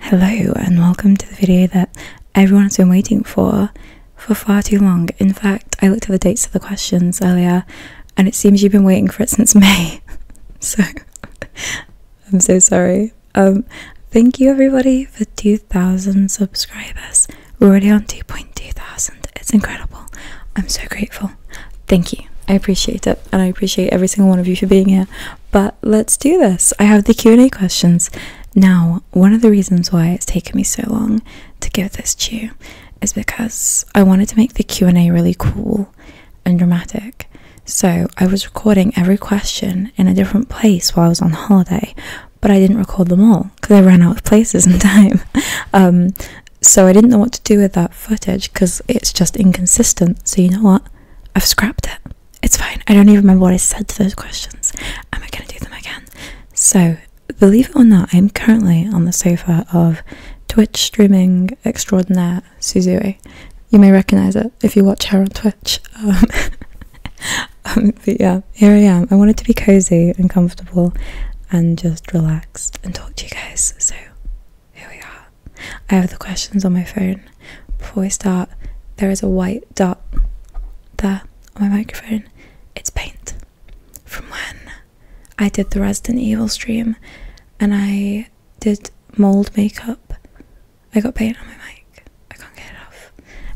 Hello and welcome to the video that everyone's been waiting for for far too long. In fact, I looked at the dates of the questions earlier and it seems you've been waiting for it since May. so I'm so sorry. Um thank you everybody for 2000 subscribers. We're already on 2.2 thousand. It's incredible. I'm so grateful. Thank you. I appreciate it and I appreciate every single one of you for being here. But let's do this. I have the Q&A questions. Now, one of the reasons why it's taken me so long to give this to you is because I wanted to make the Q&A really cool and dramatic. So, I was recording every question in a different place while I was on holiday, but I didn't record them all because I ran out of places and time. Um, so, I didn't know what to do with that footage because it's just inconsistent. So, you know what? I've scrapped it. It's fine. I don't even remember what I said to those questions. Am I going to do them again? So, believe it or not, I'm currently on the sofa of Twitch streaming extraordinaire Suzue. You may recognize it if you watch her on Twitch. Um, um, yeah, here I am. I wanted to be cozy and comfortable and just relaxed and talk to you guys. So, here we are. I have the questions on my phone. Before we start, there is a white dot there on my microphone. It's paint. From when I did the Resident Evil stream and I did mold makeup, I got paint on my mic. I can't get it off.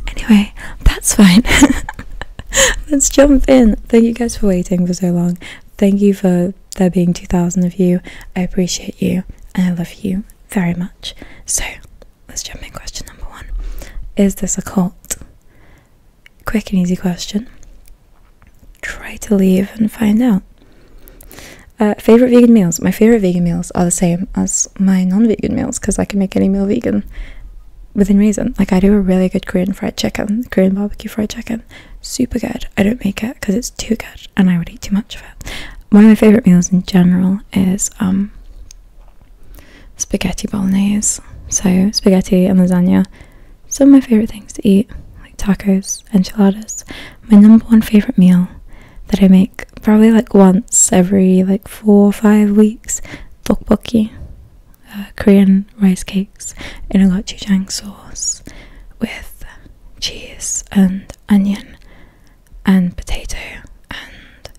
Anyway, that's fine. Let's jump in. Thank you guys for waiting for so long. Thank you for there being 2,000 of you. I appreciate you and I love you very much. So let's jump in. Question number one Is this a cult? Quick and easy question. Try to leave and find out. Uh, favorite vegan meals? My favorite vegan meals are the same as my non vegan meals because I can make any meal vegan within reason. Like, I do a really good Korean fried chicken, Korean barbecue fried chicken. Super good. I don't make it because it's too good and I would eat too much of it. One of my favourite meals in general is um, spaghetti bolognese. So, spaghetti and lasagna, some of my favourite things to eat, like tacos, enchiladas. My number one favourite meal that I make probably like once every like four or five weeks tteokbokki, uh, Korean rice cakes in a gochujang sauce with cheese and onion and potato and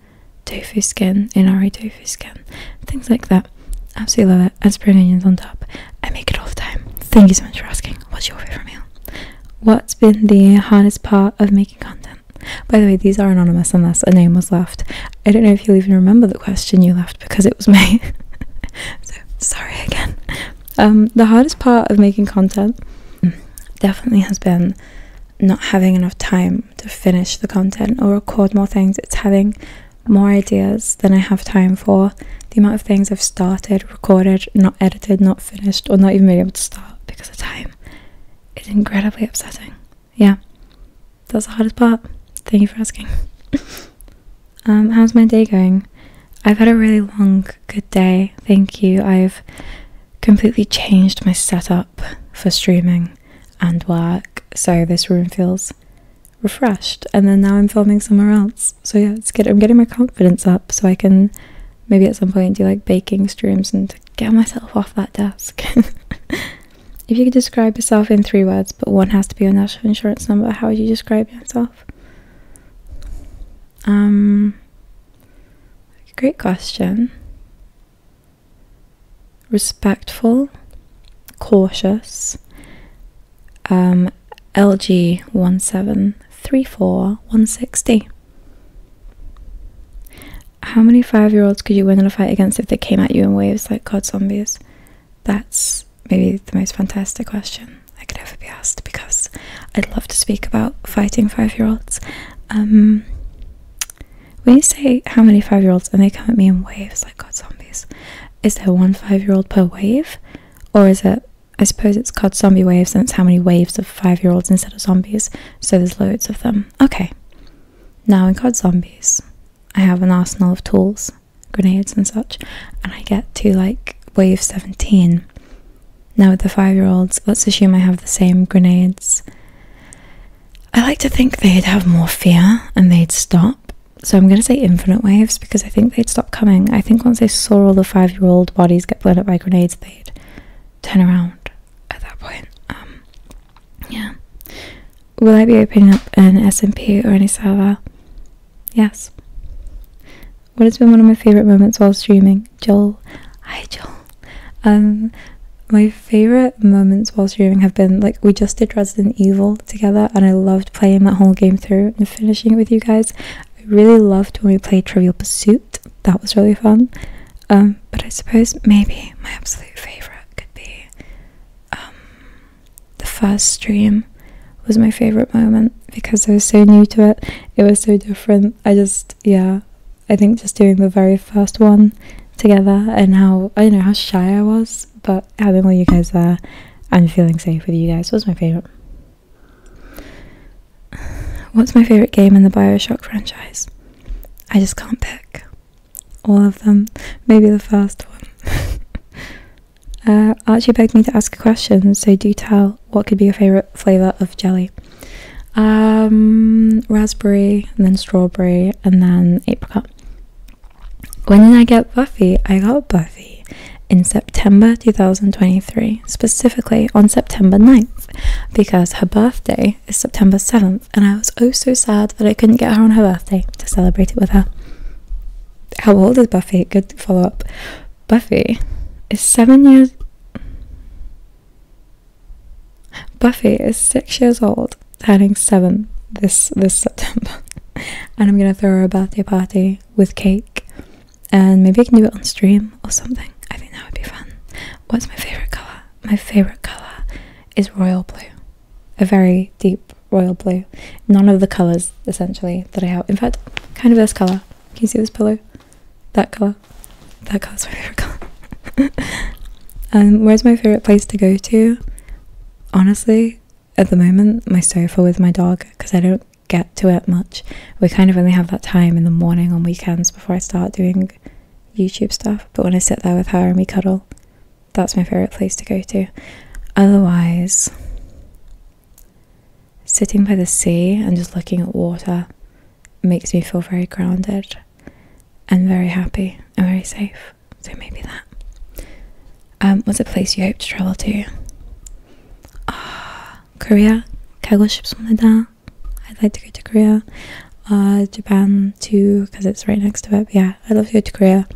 tofu skin, inari tofu skin, things like that. Absolutely love it. And spring onions on top. I make it all the time. Thank you so much for asking. What's your favorite meal? What's been the hardest part of making content? By the way, these are anonymous unless a name was left. I don't know if you'll even remember the question you left because it was me. so sorry again. Um, the hardest part of making content definitely has been not having enough time to finish the content or record more things. It's having more ideas than I have time for. The amount of things I've started, recorded, not edited, not finished, or not even been able to start because of time is incredibly upsetting. Yeah, that's the hardest part. Thank you for asking. Um, how's my day going? I've had a really long, good day. Thank you. I've completely changed my setup for streaming and work, so this room feels refreshed. And then now I'm filming somewhere else. So yeah, it's good. I'm getting my confidence up so I can maybe at some point do like baking streams and get myself off that desk. if you could describe yourself in three words, but one has to be your national insurance number, how would you describe yourself? Um, Great question. Respectful, cautious. Um, LG one seven three four one sixty. How many five-year-olds could you win in a fight against if they came at you in waves like god zombies? That's maybe the most fantastic question. I could ever be asked because I'd love to speak about fighting five year olds. Um, when you say how many five year olds and they come at me in waves like God zombies, is there one five year old per wave? Or is it, I suppose it's called zombie waves and it's how many waves of five year olds instead of zombies, so there's loads of them. Okay, now in COD Zombies, I have an arsenal of tools, grenades and such, and I get to like wave 17 now, with the five year olds, let's assume I have the same grenades. I like to think they'd have more fear and they'd stop. So I'm going to say infinite waves because I think they'd stop coming. I think once they saw all the five year old bodies get blown up by grenades, they'd turn around at that point. Um, yeah. Will I be opening up an SMP or any server? Yes. What has been one of my favourite moments while streaming? Joel. Hi, Joel. Um, my favorite moments while streaming have been like we just did Resident Evil together, and I loved playing that whole game through and finishing it with you guys. I really loved when we played Trivial Pursuit. That was really fun. Um, but I suppose maybe my absolute favorite could be um, the first stream was my favorite moment because I was so new to it. It was so different. I just, yeah, I think just doing the very first one together and how, I don't know how shy I was, but having all you guys there and feeling safe with you guys was my favorite. What's my favorite game in the Bioshock franchise? I just can't pick all of them. Maybe the first one. Uh, Archie begged me to ask a question, so do tell what could be your favorite flavor of jelly? Um, raspberry, and then strawberry, and then apricot. When did I get Buffy? I got Buffy in September 2023, specifically on September 9th, because her birthday is September 7th, and I was oh so sad that I couldn't get her on her birthday to celebrate it with her. How old is Buffy? Good follow up. Buffy is seven years. Buffy is six years old, turning seven this this September, and I'm gonna throw her a birthday party with cake, and maybe I can do it on stream or something. I think that would be fun. What's my favorite color? My favorite color is royal blue, a very deep royal blue. None of the colors essentially that I have. In fact, kind of this color can you see this pillow? That color. That color's my favorite color. um, where's my favorite place to go to? Honestly, at the moment, my sofa with my dog because I don't get to it much. We kind of only have that time in the morning on weekends before I start doing YouTube stuff. But when I sit there with her and we cuddle, that's my favorite place to go to. Otherwise, Sitting by the sea and just looking at water makes me feel very grounded and very happy and very safe. So maybe that. Um, what's a place you hope to travel to? Ah, ships on the 싶습니다 싶습니다. I'd like to go to Korea. Uh, Japan too, because it's right next to it. yeah, I'd love to go to Korea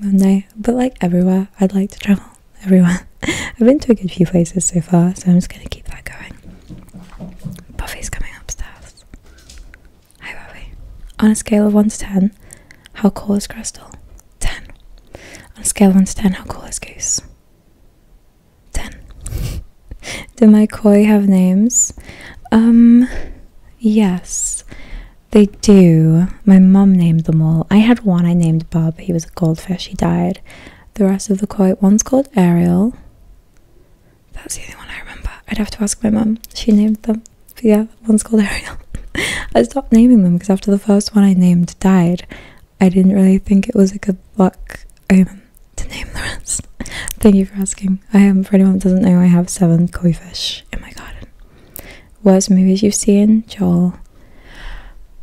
one but like everywhere, I'd like to travel everyone. I've been to a good few places so far, so I'm just gonna keep that going. Buffy's coming upstairs. Hi, Buffy. On a scale of 1 to 10, how cool is Crystal? 10. On a scale of 1 to 10, how cool is Goose? 10. Do my koi have names? Um, yes, they do. My mum named them all. I had one I named Bob. He was a goldfish. He died. The rest of the koi. One's called Ariel. That's the only one I remember. I'd have to ask my mum. She named them. But yeah, one's called Ariel. I stopped naming them because after the first one I named died, I didn't really think it was a good luck omen to name the rest. Thank you for asking. I am, for anyone that doesn't know, I have seven koi fish in my garden. Worst movies you've seen? Joel.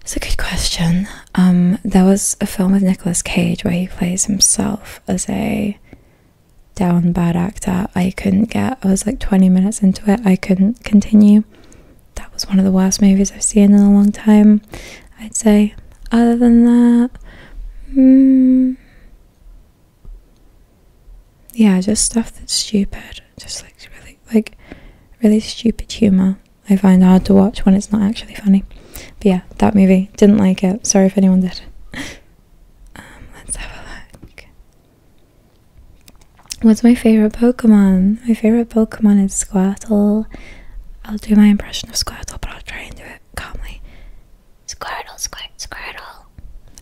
It's a good question. Um, there was a film with Nicolas Cage where he plays himself as a down bad actor. I couldn't get. I was like twenty minutes into it. I couldn't continue. That was one of the worst movies I've seen in a long time. I'd say. Other than that, mm, yeah, just stuff that's stupid just like really like really stupid humor. I find hard to watch when it's not actually funny. But yeah, that movie didn't like it. Sorry if anyone did. Um, let's have a look. What's my favorite Pokemon? My favorite Pokemon is Squirtle. I'll do my impression of Squirtle, but I'll try and do it calmly. Squirtle, squirt, squirtle.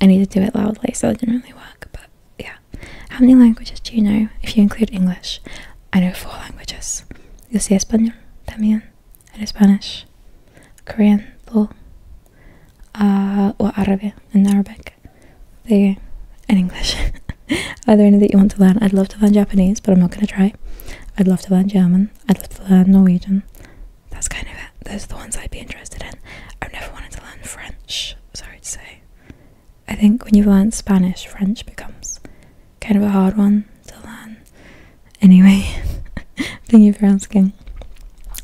I need to do it loudly, so it didn't really work. But yeah, how many languages do you know if you include English? I know four languages. Yo sé español también. I Spanish, Korean, uh, or Arabic and Arabic. They in English. Are there any that you want to learn? I'd love to learn Japanese, but I'm not gonna try. I'd love to learn German. I'd love to learn Norwegian. That's kind of it. Those are the ones I'd be interested in. I've never wanted to learn French. Sorry to say. I think when you've learned Spanish, French becomes kind of a hard one to learn. Anyway, thank you for asking.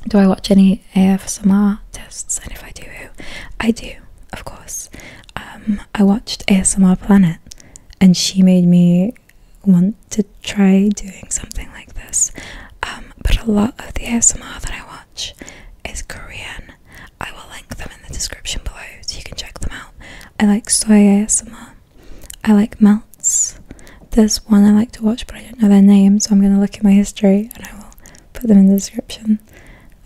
Do I watch any ASMR tests? And if I do, I do, of course. Um, I watched ASMR Planet and she made me want to try doing something like this. Um, but a lot of the ASMR that I watch Touch is Korean. I will link them in the description below so you can check them out. I like soy ASMR. I like melts. There's one I like to watch but I don't know their name so I'm going to look at my history and I will put them in the description.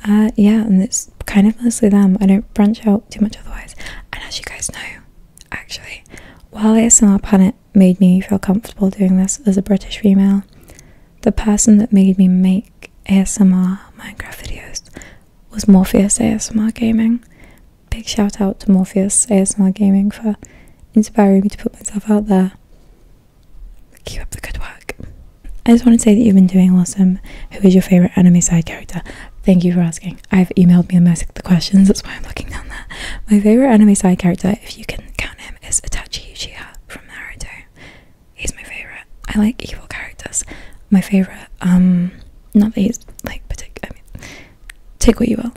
Uh, yeah, and it's kind of mostly them. I don't branch out too much otherwise. And as you guys know, actually, while ASMR Planet made me feel comfortable doing this as a British female, the person that made me make ASMR Minecraft videos was Morpheus ASMR Gaming. Big shout out to Morpheus ASMR Gaming for inspiring me to put myself out there. Keep up the good work. I just want to say that you've been doing awesome. Who is your favourite anime side character? Thank you for asking. I've emailed me a most of the questions, that's why I'm looking down there. My favourite anime side character, if you can count him, is Itachi Uchiha from Naruto. He's my favorite. I like evil characters. My favorite. Um, not that he's like particular. I mean, take what you will.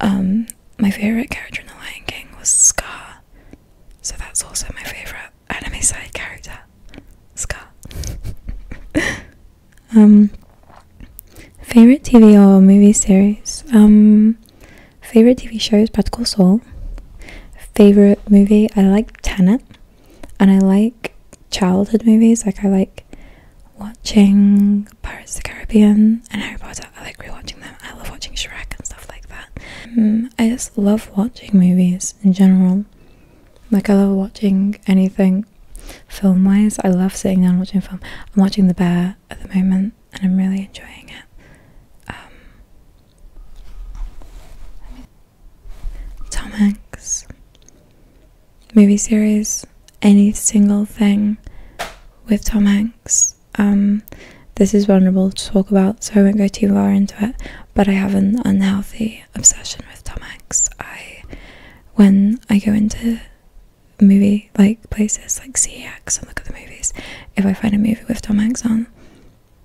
Um, my favorite character in The Lion King was Scar. So that's also my favorite anime side character, Scar. um, favorite TV or movie series. Um, favorite TV show is Practical Soul favorite movie. I like Tenet, and I like childhood movies. Like I like watching Pirates of the Caribbean and Harry Potter. I like rewatching them. I love watching Shrek and stuff like that. Mm, I just love watching movies in general. Like I love watching anything film wise. I love sitting down watching film. I'm watching The Bear at the moment, and I'm really enjoying it. Um, Tom Hanks movie series, any single thing with Tom Hanks. Um, this is vulnerable to talk about, so I won't go too far into it. But I have an unhealthy obsession with Tom Hanks. I, when I go into movie like places like CEX and look at the movies, if I find a movie with Tom Hanks on,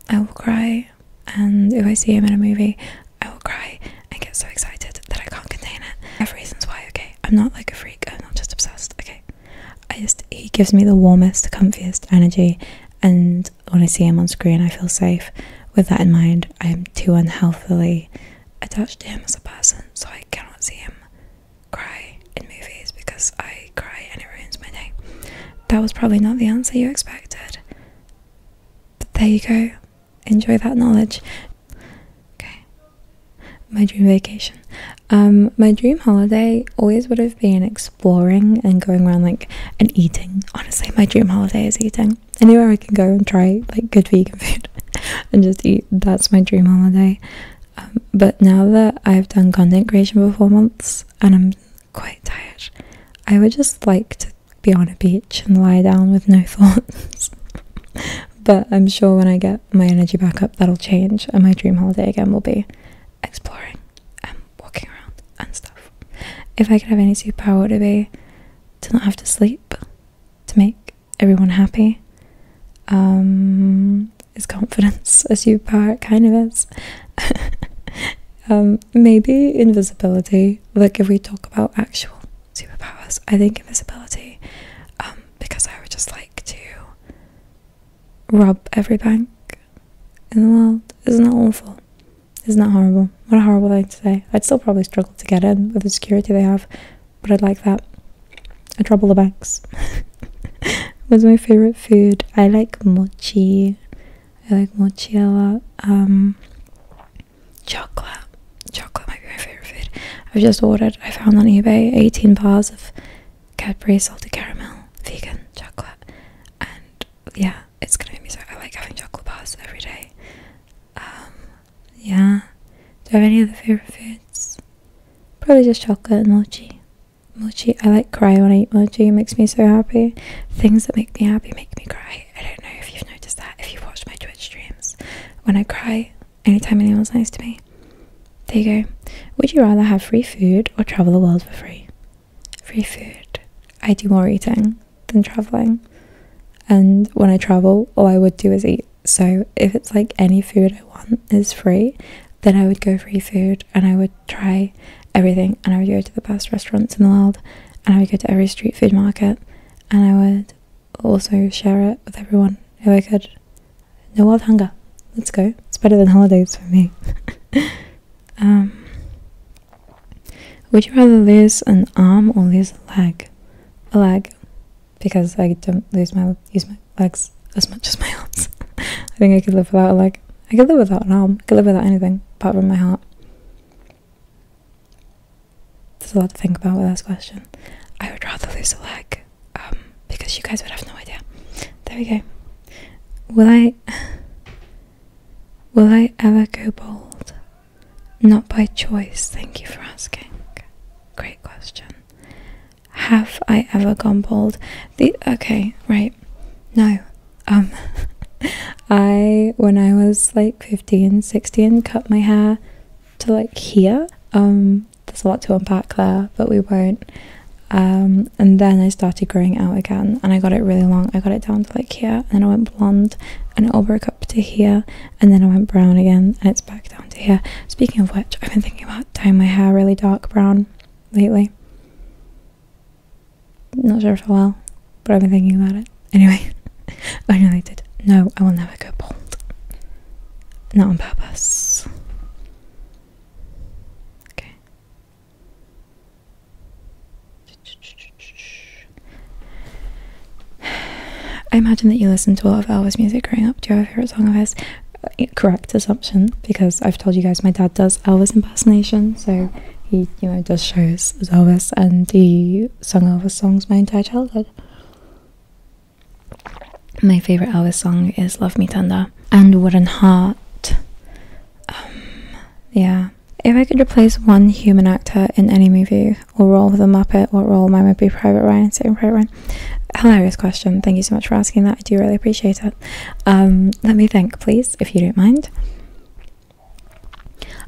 I will cry, and if I see him in a movie, I will cry and get so excited that I can't contain it. I have reasons why, okay? I'm not like a freak, I'm not just obsessed, okay? I just, he gives me the warmest, comfiest energy, and when I see him on screen, I feel safe. With that in mind, I am too unhealthily attached to him as a person, so I cannot see him cry in movies because I cry and it ruins my day. That was probably not the answer you expected. But there you go. Enjoy that knowledge. Okay. My dream vacation. Um, my dream holiday always would have been exploring and going around like and eating. Honestly, my dream holiday is eating. Anywhere I can go and try like good vegan food and just eat. That's my dream holiday. Um, but now that I've done content creation for four months and I'm quite tired. I would just like to be on a beach and lie down with no thoughts. but I'm sure when I get my energy back up, that'll change, and my dream holiday again will be exploring and walking around and stuff. If I could have any superpower, it would be to not have to sleep, to make everyone happy. Um, is confidence a superpower? It kind of is. Um, maybe invisibility. Like if we talk about actual superpowers, I think invisibility. Um, because I would just like to rob every bank in the world. Isn't that awful? Isn't that horrible? What a horrible thing to say. I'd still probably struggle to get in with the security they have, but I'd like that. I'd rob the banks. What's my favourite food? I like mochi. I like mochi Um, chocolate. Chocolate might be my favorite food. I've just ordered, I found on eBay 18 bars of Cadbury salted caramel vegan chocolate. And yeah, it's gonna make me so. I like having chocolate bars every day. Um, yeah. Do I have any other favorite foods? Probably just chocolate and mochi. Mochi, I like cry when I eat mochi, it makes me so happy. Things that make me happy make me cry. I don't know if you've noticed that, if you've watched my Twitch streams. When I cry, anytime anyone's nice to me. There you go. Would you rather have free food or travel the world for free? Free food. I do more eating than traveling. And when I travel, all I would do is eat. So if it's like any food I want is free, then I would go free food and I would try everything and I would go to the best restaurants in the world and I would go to every street food market and I would also share it with everyone who I could. No world hunger. Let's go. It's better than holidays for me. um, would you rather lose an arm or lose a leg? A leg. Because I don't lose my use my legs as much as my arms. I think I could live without a leg. I could live without an arm. I could live without anything apart from my heart. There's a lot to think about with this question. I would rather lose a leg, um, because you guys would have no idea. There we go. Will I Will I ever go bald? Not by choice, thank you for asking. Great question. Have I ever gone bald? The okay, right. No, um, I, when I was like 15, 16, cut my hair to like here. Um, there's a lot to unpack there, but we won't. Um, and then I started growing out again and I got it really long. I got it down to like here, and then I went blonde and it all broke up to here, and then I went brown again and it's back down to here. Speaking of which, I've been thinking about dyeing my hair really dark brown lately. Not sure for a while, but I've been thinking about it. Anyway, I did. No, I will never go bald. Not on purpose. Okay. I imagine that you listened to a lot of Elvis music growing up. Do you have a favorite song of his? correct assumption because I've told you guys my dad does Elvis impersonation, so he you know does shows as Elvis and he sung Elvis songs my entire childhood. My favorite Elvis song is "Love Me Tender" and "Wooden Heart." Um, yeah, if I could replace one human actor in any movie or role with a Muppet, what role mine would be Private Ryan? Saving Private Ryan. Hilarious question. Thank you so much for asking that. I do really appreciate it. Um, let me think, please, if you don't mind.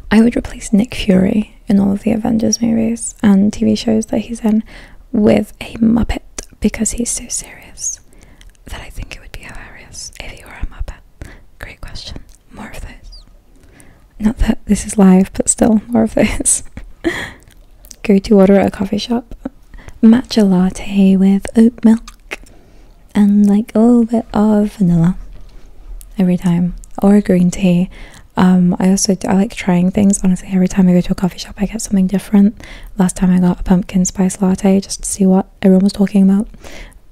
I would replace Nick Fury in all of the Avengers movies and TV shows that he's in with a Muppet because he's so serious that I think it would be hilarious if he were a Muppet. Great question. More of those. Not that this is live, but still, more of those. Go to order a coffee shop. Matcha latte with oat milk and like a little bit of vanilla every time or green tea. Um, I also I like trying things. Honestly, every time I go to a coffee shop, I get something different. Last time I got a pumpkin spice latte just to see what everyone was talking about.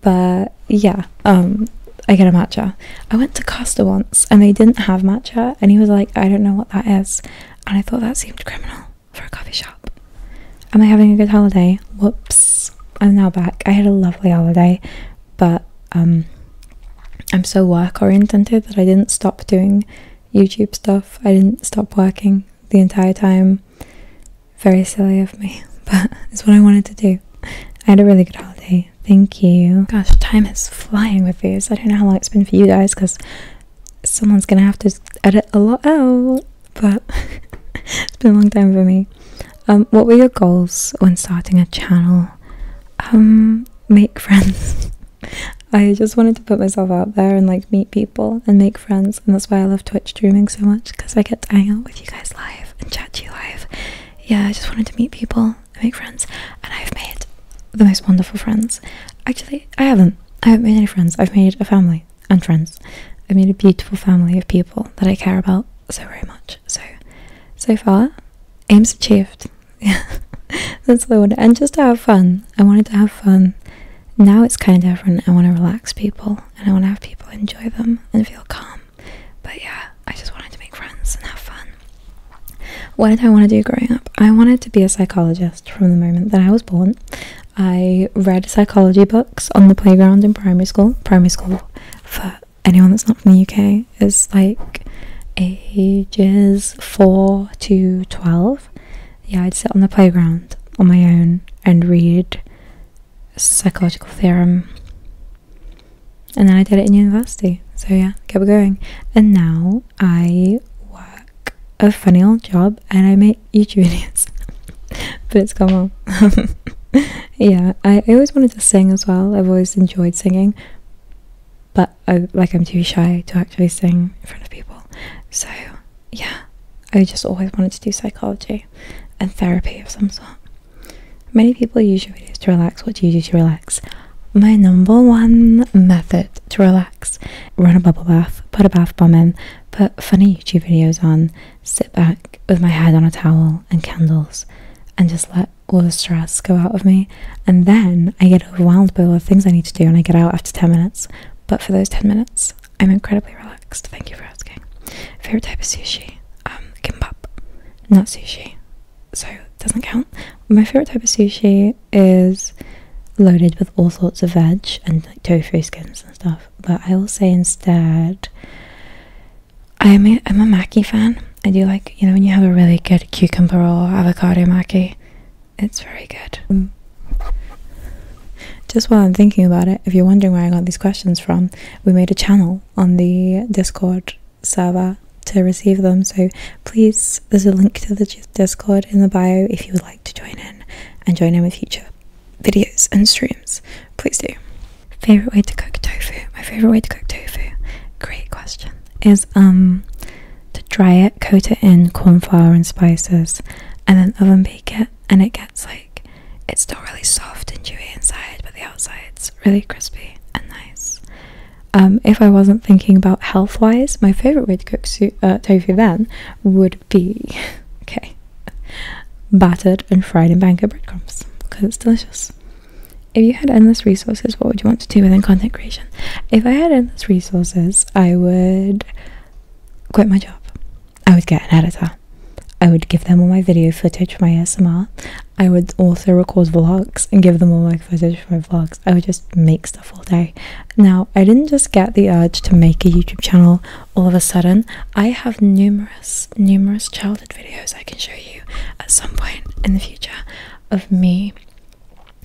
But yeah, um, I get a matcha. I went to Costa once and they didn't have matcha, and he was like, "I don't know what that is," and I thought that seemed criminal for a coffee shop. Am I having a good holiday? Whoops. I'm now back. I had a lovely holiday, but um, I'm so work oriented that I didn't stop doing YouTube stuff. I didn't stop working the entire time. Very silly of me, but it's what I wanted to do. I had a really good holiday. Thank you. Gosh, time is flying with these. I don't know how long it's been for you guys because someone's gonna have to edit a lot out, but it's been a long time for me. Um, what were your goals when starting a channel? Um, make friends. I just wanted to put myself out there and like meet people and make friends, and that's why I love Twitch streaming so much because I get to hang out with you guys live and chat to you live. Yeah, I just wanted to meet people make friends, and I've made the most wonderful friends. Actually, I haven't. I haven't made any friends. I've made a family and friends. I made a beautiful family of people that I care about so very much. So, so far, aims achieved. That's what I wanted. And just to have fun. I wanted to have fun. Now it's kind of different. I want to relax people and I want to have people enjoy them and feel calm. But yeah, I just wanted to make friends and have fun. What did I want to do growing up? I wanted to be a psychologist from the moment that I was born. I read psychology books on the playground in primary school. Primary school, for anyone that's not from the UK, is like ages 4 to 12. Yeah, I'd sit on the playground on my own and read psychological theorem. And then I did it in university. So yeah, kept going. And now I work. A funny old job and I make YouTube videos. but it's come on. yeah, I, I always wanted to sing as well. I've always enjoyed singing. But I like I'm too shy to actually sing in front of people. So yeah. I just always wanted to do psychology and therapy of some sort. Many people use your videos to relax. What do you do to relax? My number one method to relax run a bubble bath, put a bath bomb in, put funny YouTube videos on, sit back with my head on a towel and candles, and just let all the stress go out of me. And then I get overwhelmed by all the things I need to do, and I get out after 10 minutes. But for those 10 minutes, I'm incredibly relaxed. Thank you for asking. Favorite type of sushi? Um, kimbap, not sushi, so it doesn't count. My favorite type of sushi is loaded with all sorts of veg and like tofu skins and stuff. But I will say instead, I'm a maki fan. I do like, you know, when you have a really good cucumber or avocado maki, it's very good. Just while I'm thinking about it, if you're wondering where I got these questions from, we made a channel on the Discord server to receive them. So please, there's a link to the Discord in the bio if you would like to join in and join in with future videos and streams. Please do. Favorite way to cook tofu? My favorite way to cook tofu, great question, is um to dry it, coat it in corn flour and spices, and then oven bake it. And it gets like it's still really soft and chewy inside, but the outside's really crispy and nice. Um, if I wasn't thinking about health wise, my favorite way to cook uh, tofu then would be okay battered and fried in banker breadcrumbs because it's delicious if you had endless resources what would you want to do within content creation if i had endless resources i would quit my job i would get an editor i would give them all my video footage for my asmr i would also record vlogs and give them all my footage for my vlogs i would just make stuff stuff all day. Now, I didn't just get the urge to make a YouTube channel all of a sudden. I have numerous, numerous childhood videos I can show you at some point in the future of me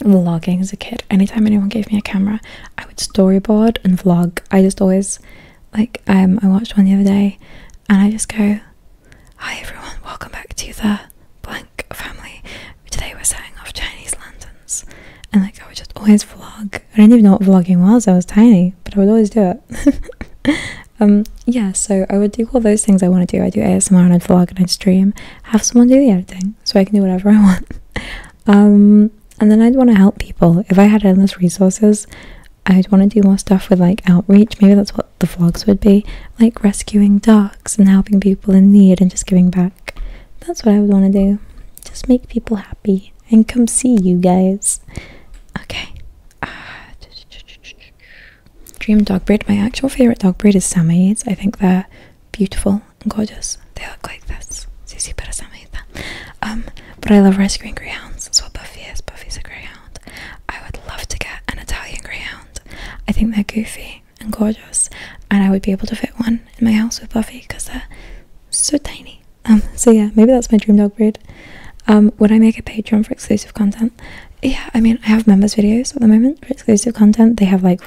vlogging as a kid. Anytime anyone gave me a camera, I would storyboard and vlog. I just always, like, um, I watched one the other day and I just go, Hi everyone, welcome back to the blank family which they were selling off Chinese lanterns. And like I would just always vlog. I didn't even know what vlogging was. I was tiny, but I would always do it. um, yeah, so I would do all those things I want to do. I do ASMR and i vlog and i stream. Have someone do the editing so I can do whatever I want. Um, and then I'd want to help people. If I had endless resources, I'd want to do more stuff with like outreach. Maybe that's what the vlogs would be, like rescuing dogs and helping people in need and just giving back. That's what I would want to do. Just make people happy and come see you guys. Okay. Ah. dream dog breed. My actual favorite dog breed is Samayids. I think they're beautiful and gorgeous. They look like this. Um, but I love rescuing greyhounds. That's what Buffy is. Buffy's a greyhound. I would love to get an Italian greyhound. I think they're goofy and gorgeous, and I would be able to fit one in my house with Buffy because they're so tiny. Um, so yeah, maybe that's my dream dog breed. Um, would I make a Patreon for exclusive content? Yeah, I mean, I have members videos at the moment for exclusive content. They have like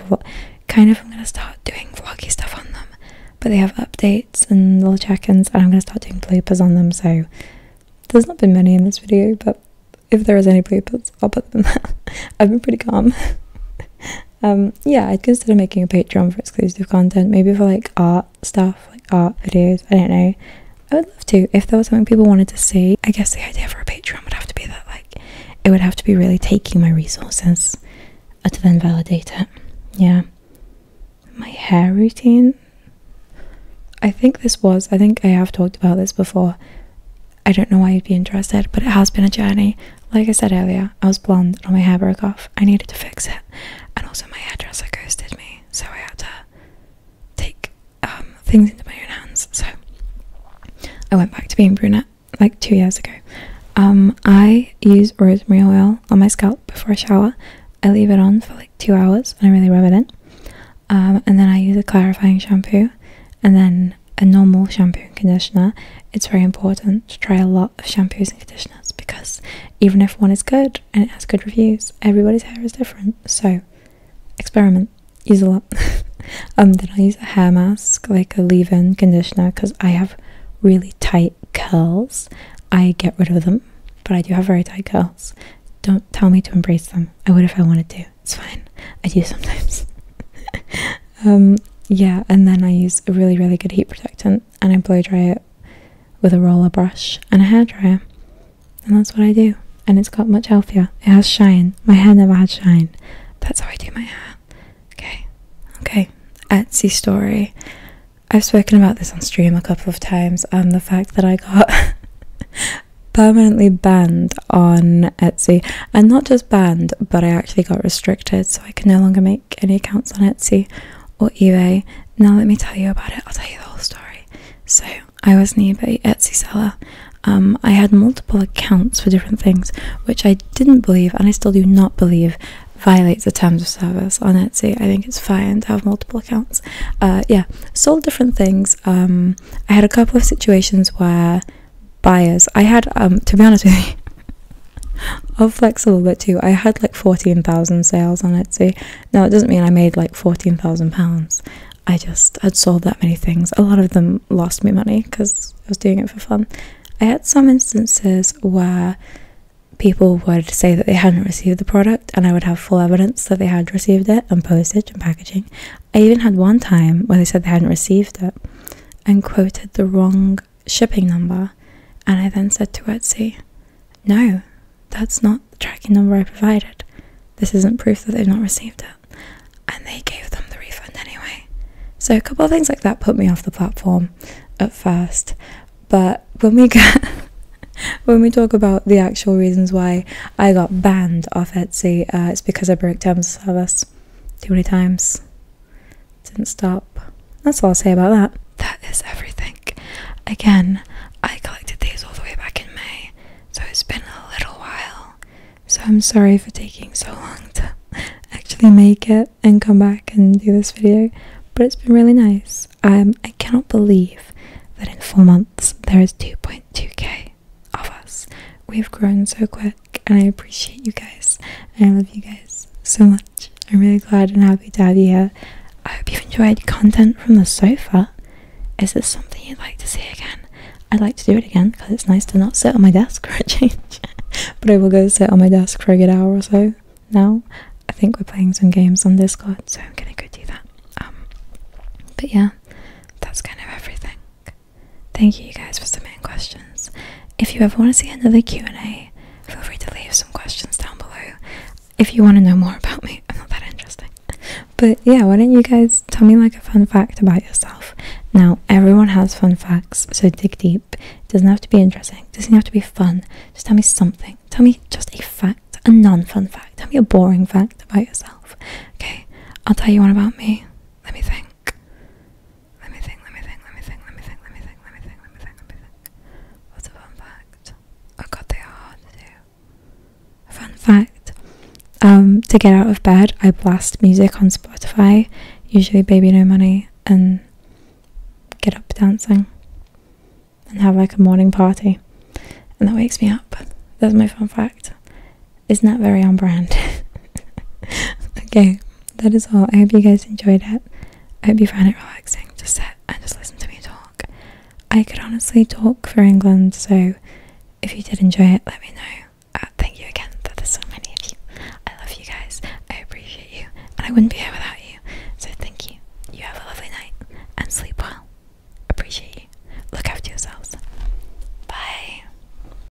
kind of I'm gonna start doing vloggy stuff on them, but they have updates and little check-ins, and I'm gonna start doing bloopers on them. So there's not been many in this video, but if there is any bloopers, I'll put them I've been pretty calm. um yeah i'd consider making a patreon for exclusive content maybe for like art stuff like art videos i don't know i would love to if there was something people wanted to see i guess the idea for a patreon would have to be that like it would have to be really taking my resources to then validate it yeah my hair routine i think this was i think i have talked about this before i don't know why you'd be interested but it has been a journey like I said earlier, I was blonde and all my hair broke off. I needed to fix it. And also my hairdresser ghosted me, so I had to take um, things into my own hands. So I went back to being brunette like two years ago. Um, I use rosemary oil on my scalp before I shower. I leave it on for like two hours and I really rub it in. Um, and then I use a clarifying shampoo and then a normal shampoo and conditioner, it's very important to try a lot of shampoos and conditioners because even if one is good and it has good reviews, everybody's hair is different. So experiment, use a lot. um, then I use a hair mask, like a leave-in conditioner, because I have really tight curls. I get rid of them, but I do have very tight curls. Don't tell me to embrace them. I would if I wanted to. It's fine. I do sometimes. Um, yeah, and then I use a really, really good heat protectant and I blow dry it with a roller brush and a hair dryer, And that's what I do. And it's got much healthier. It has shine. My hair never had shine. That's how I do my hair. Okay. Okay. Etsy story. I've spoken about this on stream a couple of times and the fact that I got permanently banned on Etsy and not just banned, but I actually got restricted, so I can no longer make any accounts on Etsy or eBay. Now, let me tell you about it, I'll tell you the whole story. So, I was an eBay Etsy seller. Um, I had multiple accounts for different things, which I didn't believe, and I still do not believe, violates the terms of service on Etsy. I think it's fine to have multiple accounts. Uh, yeah, sold different things. Um, I had a couple of situations where buyers. I had, um, to be honest with you, I'm flexible, bit too, I had like 14,000 sales on Etsy. Now, it doesn't mean I made like 14,000 pounds. I just had sold that many things. A lot of them lost me money because I was doing it for fun. I had some instances where people would say that they hadn't received the product and I would have full evidence that they had received it and postage and packaging. I even had one time where they said they hadn't received it and quoted the wrong shipping number, and I then said to Etsy, No, that's not the tracking number I provided. This isn't proof that they've not received it. And they gave them the refund anyway. So, a couple of things like that put me off the platform at first. But when we get. when we talk about the actual reasons why I got banned off Etsy, uh, it's because I broke terms of service too many times. Didn't stop. That's all I'll say about that. That is everything. Again, I collected these all the way back in May, so it's been a little while. So I'm sorry for taking so long to actually make it and come back and do this video, but it's been really nice. Um, I cannot believe that in four months there is 2.2k of us. We've grown so quick and I appreciate you guys. I love you guys so much. I'm really glad and happy to have you here. I hope you've enjoyed content from the sofa. Is this something you'd like to see again? I'd like to do it again because it's nice to not sit on my desk for a change. but I will go sit on my desk for a good hour or so now. I think we're playing some games on Discord, so I'm gonna go do that. Um, but yeah, that's kind of everything. Thank you, you guys, for submitting questions. If you ever want to see another Q&A, feel free to leave some questions down below. If you want to know more about me, I'm not that interesting. But yeah, why don't you guys tell me like a fun fact about yourself? Now, everyone has fun facts, so dig deep. It doesn't have to be interesting, it doesn't have to be fun. Just tell me something. Tell me just a fact, a non fun fact. Tell me a boring fact about yourself. Okay, I'll tell you one about me. Let me think. Let me think, let me think, let me think, let me think, let me think, let me think, let me think, let me think. What's a fun fact? Oh god, they are hard to do. A fun fact. Um, to get out of bed I blast music on Spotify, usually Baby No Money, and get up dancing and have like a morning party. And that wakes me up. That's my fun fact is not very on brand. okay, that is all. I hope you guys enjoyed it. I hope you found it relaxing. Just sit and just listen to me talk. I could honestly talk for England, so if you did enjoy it, let me know. Uh, thank you again that there's so many of you. I love you guys. I appreciate you, and I wouldn't be here without you. So thank you. You have a lovely night and sleep well. Appreciate you. Look after yourselves. Bye.